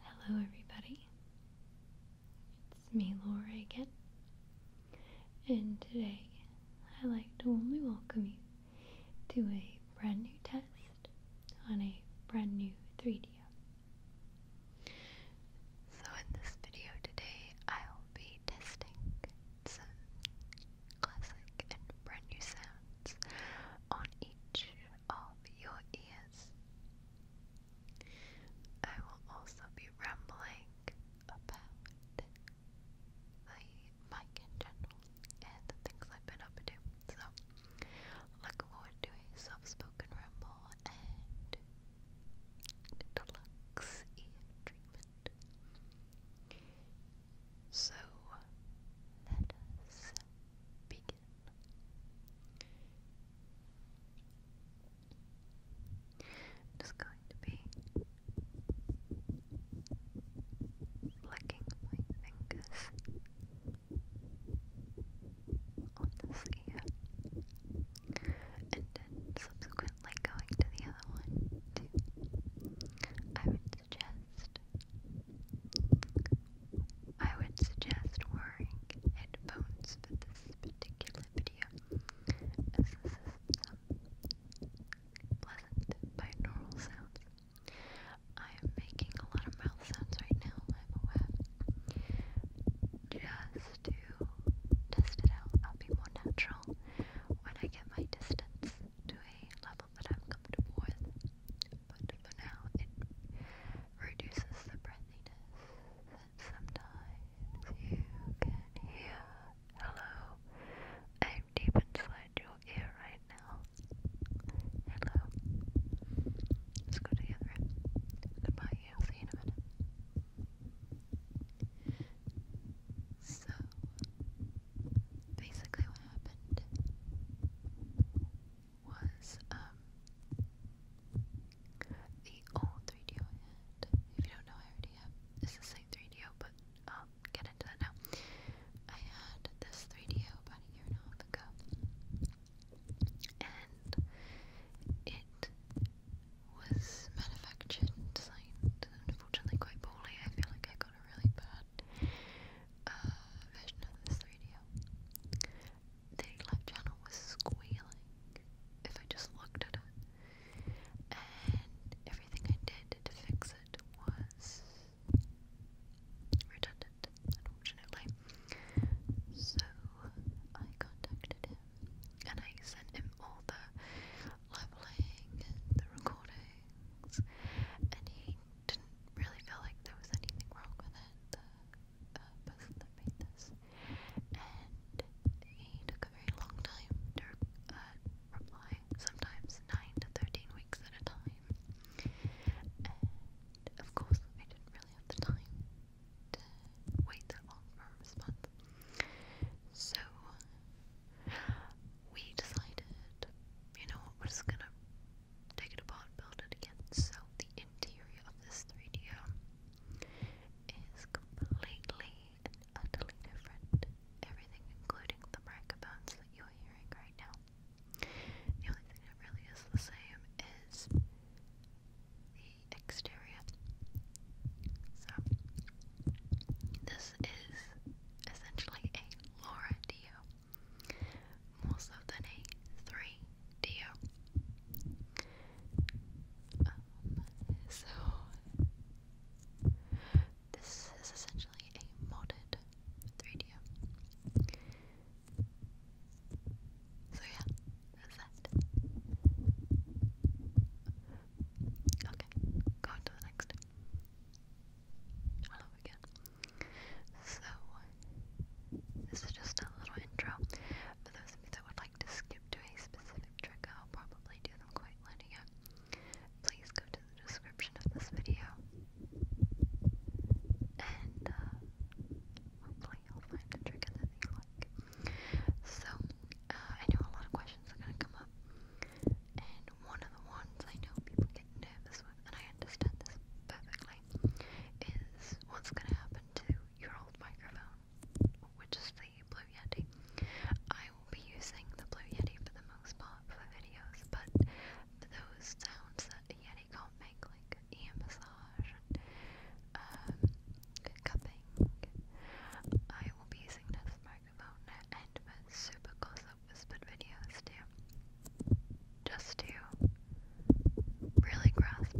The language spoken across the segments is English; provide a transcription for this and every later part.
Hello, everybody. It's me, Laura, again. And today, I'd like to only welcome you to a brand new test on a brand new 3D So, in this video today, I'll be testing some classic and brand new sounds on each of your ears. I will also be rambling about the mic in general and the things I've been up to. So, look forward to a soft spoken ramble and deluxe ear treatment. So, let us begin. Just going to be flicking my fingers on this ear and subsequently going to the other one I would suggest I would suggest wearing headphones for this particular video, as this is some pleasant binaural sounds. I am making a lot of mouth sounds right now, I'm aware. Just to test it out, I'll be more natural when I get my distance to a level that I'm comfortable with. But for now, it reduces the breathiness, and sometimes you can hear, hello, i deep inside your ear right now, hello, let's go to goodbye, see you in a minute. So, basically what happened was um the old 3 if you don't know I already have it's the same 3 but I'll get into that now. I had this 3 about a year and a half ago and it was manufactured designed unfortunately quite poorly. I feel like I got a really bad uh, version of this 3 the left channel was squealing if I just looked at it. And everything I did to fix it was redundant, unfortunately. So I contacted him and I sent him all the leveling the recordings and he didn't really feel like there was anything wrong with it. The uh, puzzle that made this, and he took a very long time to uh, reply, sometimes 9 to 13 weeks at a time, and of course I didn't really have the time to wait that long for a response, so we decided, you know what, we're just gonna take apart, build again. So the interior of this 3D is completely and utterly different. Everything, including the microphones that you're hearing right now. The only thing that really is the same is the exterior. So, this is essentially a Laura Dio most of the day. Three, deal. Um, so this is essentially a modded 3D. So yeah, that's that. Okay, go on to the next. I love again. So this is just a little intro. For those of you that would like to skip to a specific trick, I'll probably do them quite linear. Please go to the description of this video. And uh, hopefully you'll find a trigger that you like. So, uh, I know a lot of questions are going to come up. And one of the ones I know people get nervous with, and I understand this perfectly, anyway, is what's going to happen to your old microphone, which is the Blue Yeti. I will be using the Blue Yeti for the most part for videos, but those sounds that Yeti can't make, like ear and um, cupping, I will be using this microphone and for super close-up whispered videos too just to really grasp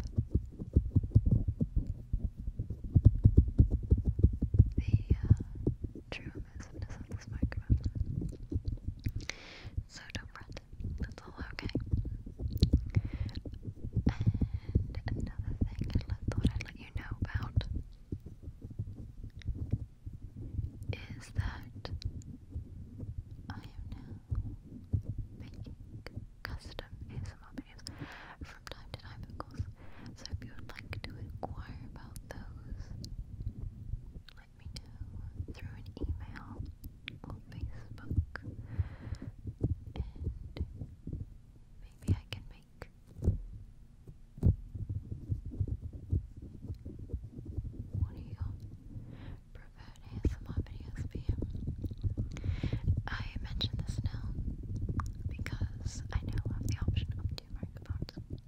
the uh, true immersiveness of this microphone. So don't fret, that's all okay. And another thing I thought I'd let you know about is that I am now making custom ASMR videos from time to time, of course. So if you would like to inquire about those, let me know through an email or Facebook, and maybe I can make one of your preferred ASMR videos for you. I mention this now because I now have the option of two microphones.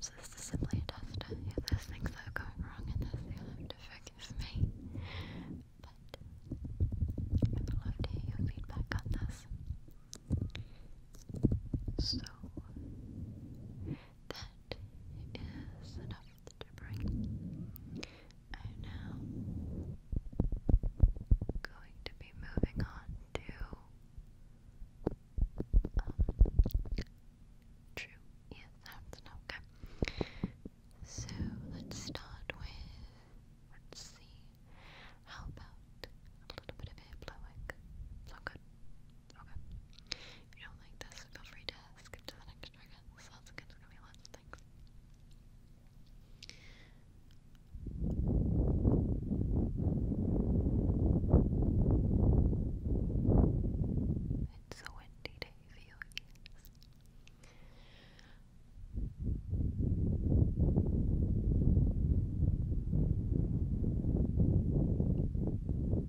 So this is simply a tester. If there's things that are wrong in this, you'll have to forgive me. But I would love to hear your feedback on this. So that is enough it's gibbering. I'm now going to be moving on to um, true ear sounds. okay. So let's start with. Let's see. How about a little bit of air blowing? Blow good. Okay. If you don't like this, feel free to skip to the next trigger. This sounds like gonna be lots of things. It's a windy day for you, yes.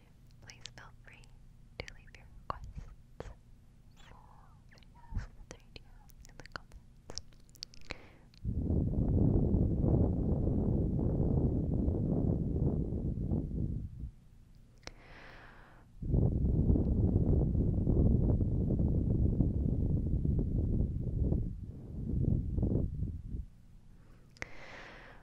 Please feel free to leave your requests for videos in the comments.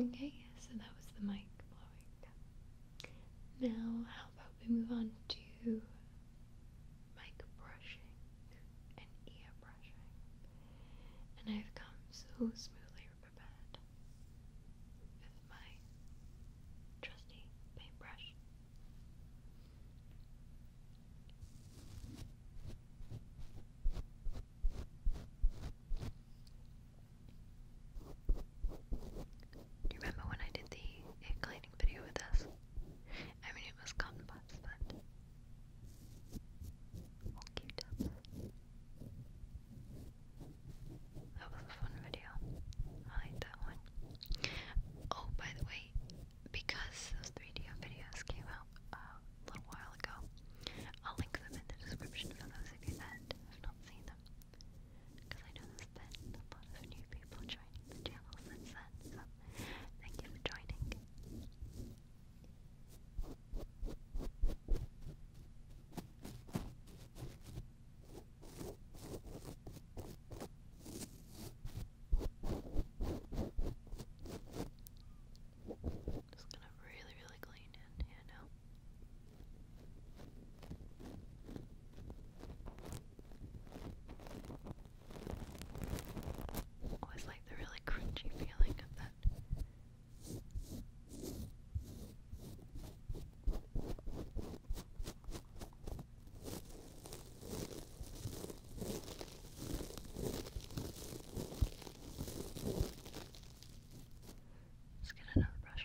Okay, so that was the mic blowing. Now, how about we move on to mic brushing and ear brushing? And I've come so smoothly prepared with my trusty paintbrush you remember when I did the cleaning video with us? I mean, it was cotton buds, but cute That was a fun video. I like that one. Oh, by the way, I, because those 3D videos came out a little while ago, I'll link them in the description for those of you that have not seen them. Because I noticed that a lot of new people joining the channel since then, so thank you for joining. Just gonna really, really clean it, you know. Always like the really crunchy feeling of that. Let's get another brush.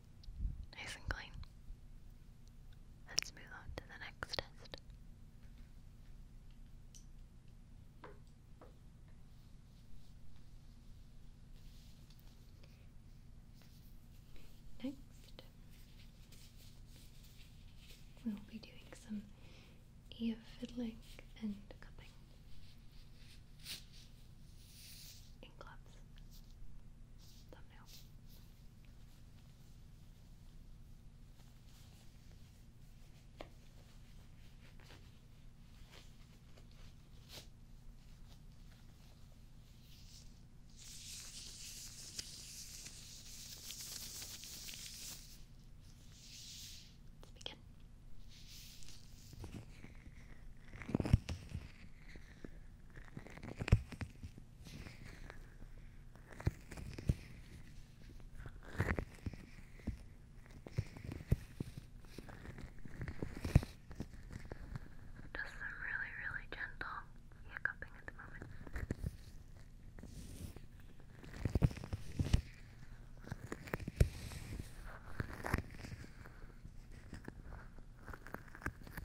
Nice and clean. Let's move on to the next test. Next, we'll be doing some ear fiddling and cupping ink clubs thumbnail. Let's begin. Now, just some really, really gentle hiccuping at the moment.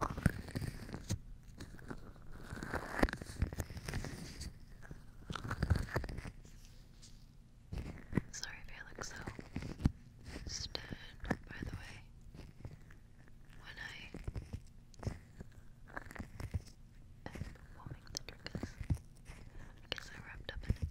Sorry if I look by the way. When I am warming the triggers, I I wrapped up in it.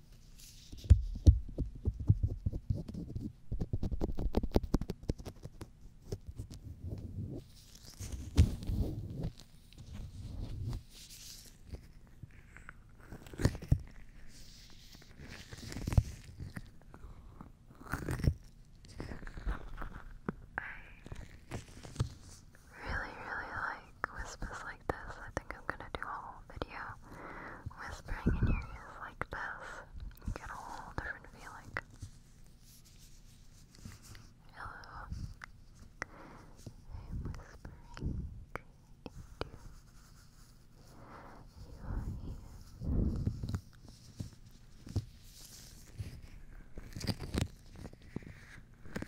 really, really like whispers like this. I think I'm gonna do a whole video whispering in your ears like this. You get a whole different feeling. Hello. I'm whispering into your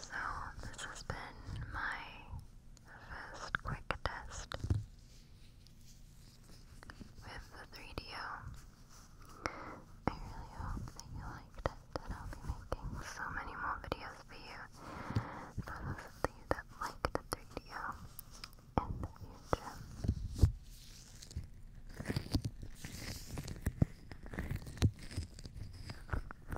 So, this has been my first quick test with the 3DO. really hope that you liked it, and I'll be making so many more videos for you. For those of you that like the 3DO in the future. Thank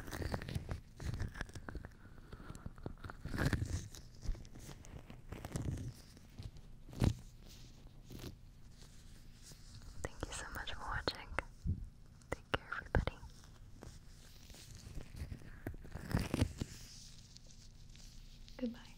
you so much for watching. Take care, everybody. Goodbye.